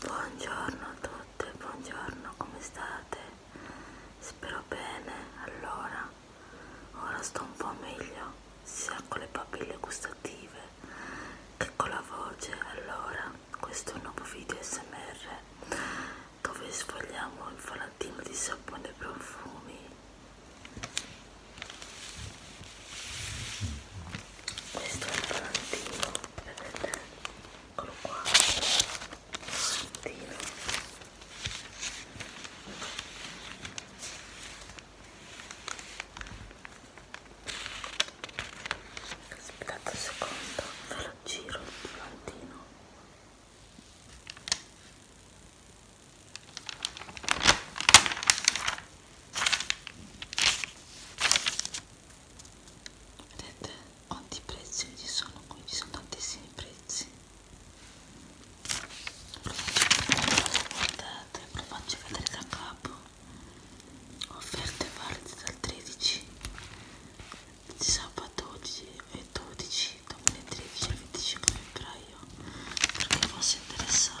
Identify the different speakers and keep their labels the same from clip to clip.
Speaker 1: Buongiorno a tutti, buongiorno, come state? Spero bene, allora, ora sto un po' meglio, sia con le papille gustative che con la voce, allora, questo è un nuovo video smr dove sfogliamo il falattino di sapone e profumi questo è il volantino vedete eccolo qua volantino aspettate un secondo ve lo giro il volantino vedete quanti prezzi ci sono qui ci sono tantissimi prezzi lo guardate ve lo faccio vedere da capo offerte valide dal 13 sabato 12 e 12 2013 al 25 febbraio per chi fosse interessato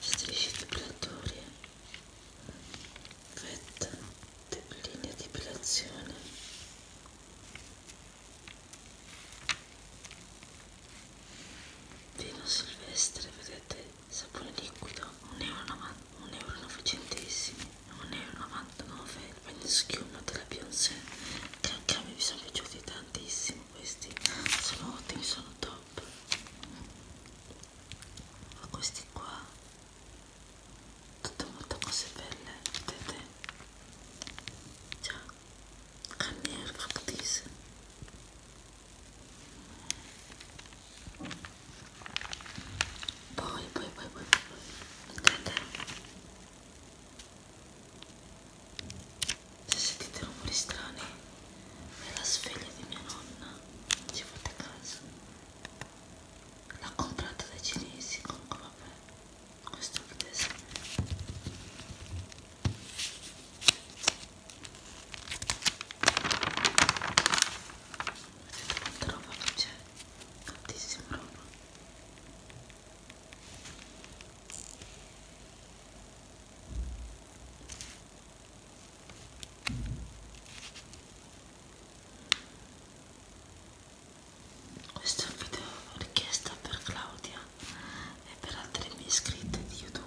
Speaker 1: strisce depilatorie fetta de linea di depilazione vino silvestre vedete sapone liquido 1,99 euro 1,99 euro il bagno schiuma della Beyoncé che anche a me mi sono piaciuti tantissimo questi sono ottimi, sono top ma questi qua tutte molto cose belle vedete già carne e fructis poi poi poi poi poi vedete se sentite rumori strani è la sveglia di mia nonna ci fate caso l'ha comprata dai cinesi comunque vabbè questo è tedesco vedete quanta roba che c'è tantissima roba questo è un video richiesto per Claudia e per altre mie iscritte di YouTube.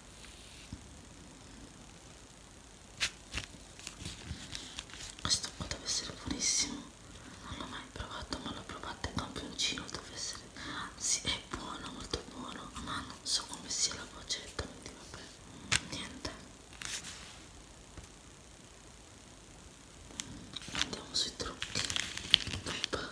Speaker 1: questo qua deve essere buonissimo non l'ho mai provato ma l'ho provato in campioncino deve essere anzi è buono molto buono ma non so come sia la boccetta quindi vabbè niente andiamo sui trucchi Opa.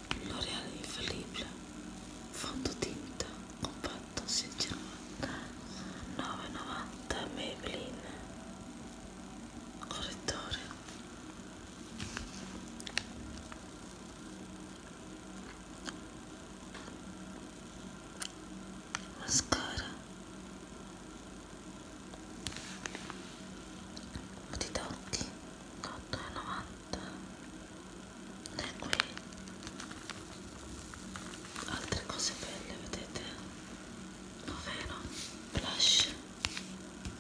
Speaker 1: L'Oreal Infallibile Fondotinta Compatto 6,90 9,90 Maybelline Correttore Mascara Matita occhi 8,90 fatta è qui altre cose belle vedete ovvero blush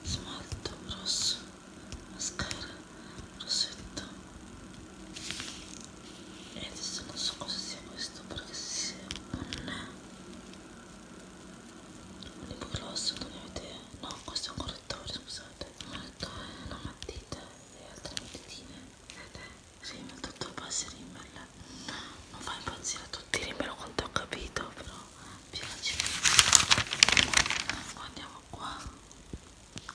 Speaker 1: smalto rosso mascara rossetto e adesso non so cosa sia questo perché se non è un lip gloss non ne avete no questo è un correttore scusate un correttore una matita e altre matitine vedete? si sì, ma tutto passi rimmel non fa impazzire a tutti rimmel quanto ho capito però piace andiamo qua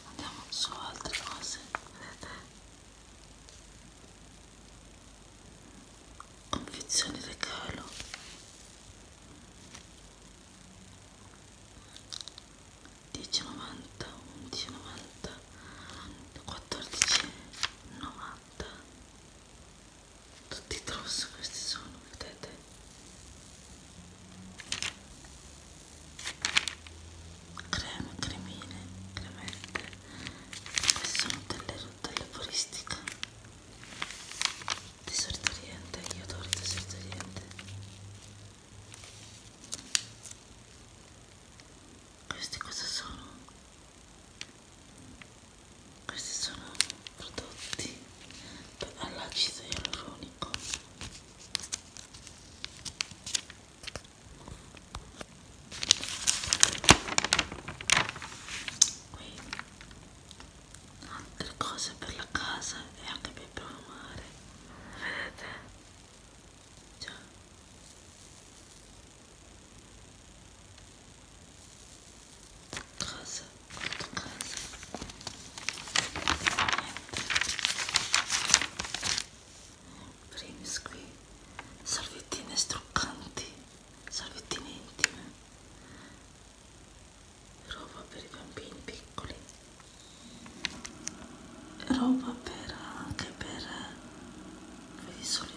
Speaker 1: andiamo su altre cose vedete? confezioni regalo 10,90 11,90 14,90 tutti i tross questi sono vedete creme cremine cremette queste sono delle rottelle foristica deserto oriente, io adoro il deserto oriente questi cosa sono? questi sono prodotti all'acido ialuronico qui altre cose per la casa e anche per provare vedete già cioè. casa questa casa niente primis qui salvettine struccanti salvettine intime roba per i bambini piccoli roba per anche per vedi solo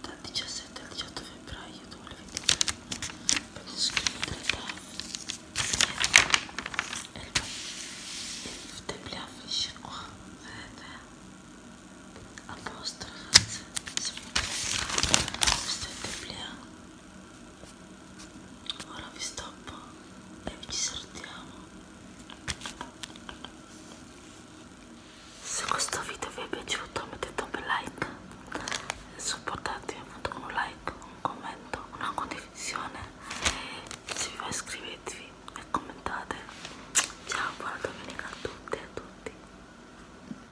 Speaker 1: dal 17 al 18 febbraio 2023 per scrivere da e il templare finisce qua vedete eh, a posto ragazzi se vi piace questo è il templare ora vi stoppo e vi salutiamo se questo video vi è piaciuto mettete un bel like supportatemi appunto con un like un commento una condivisione se vi va iscrivetevi e commentate ciao buona domenica a tutte e a tutti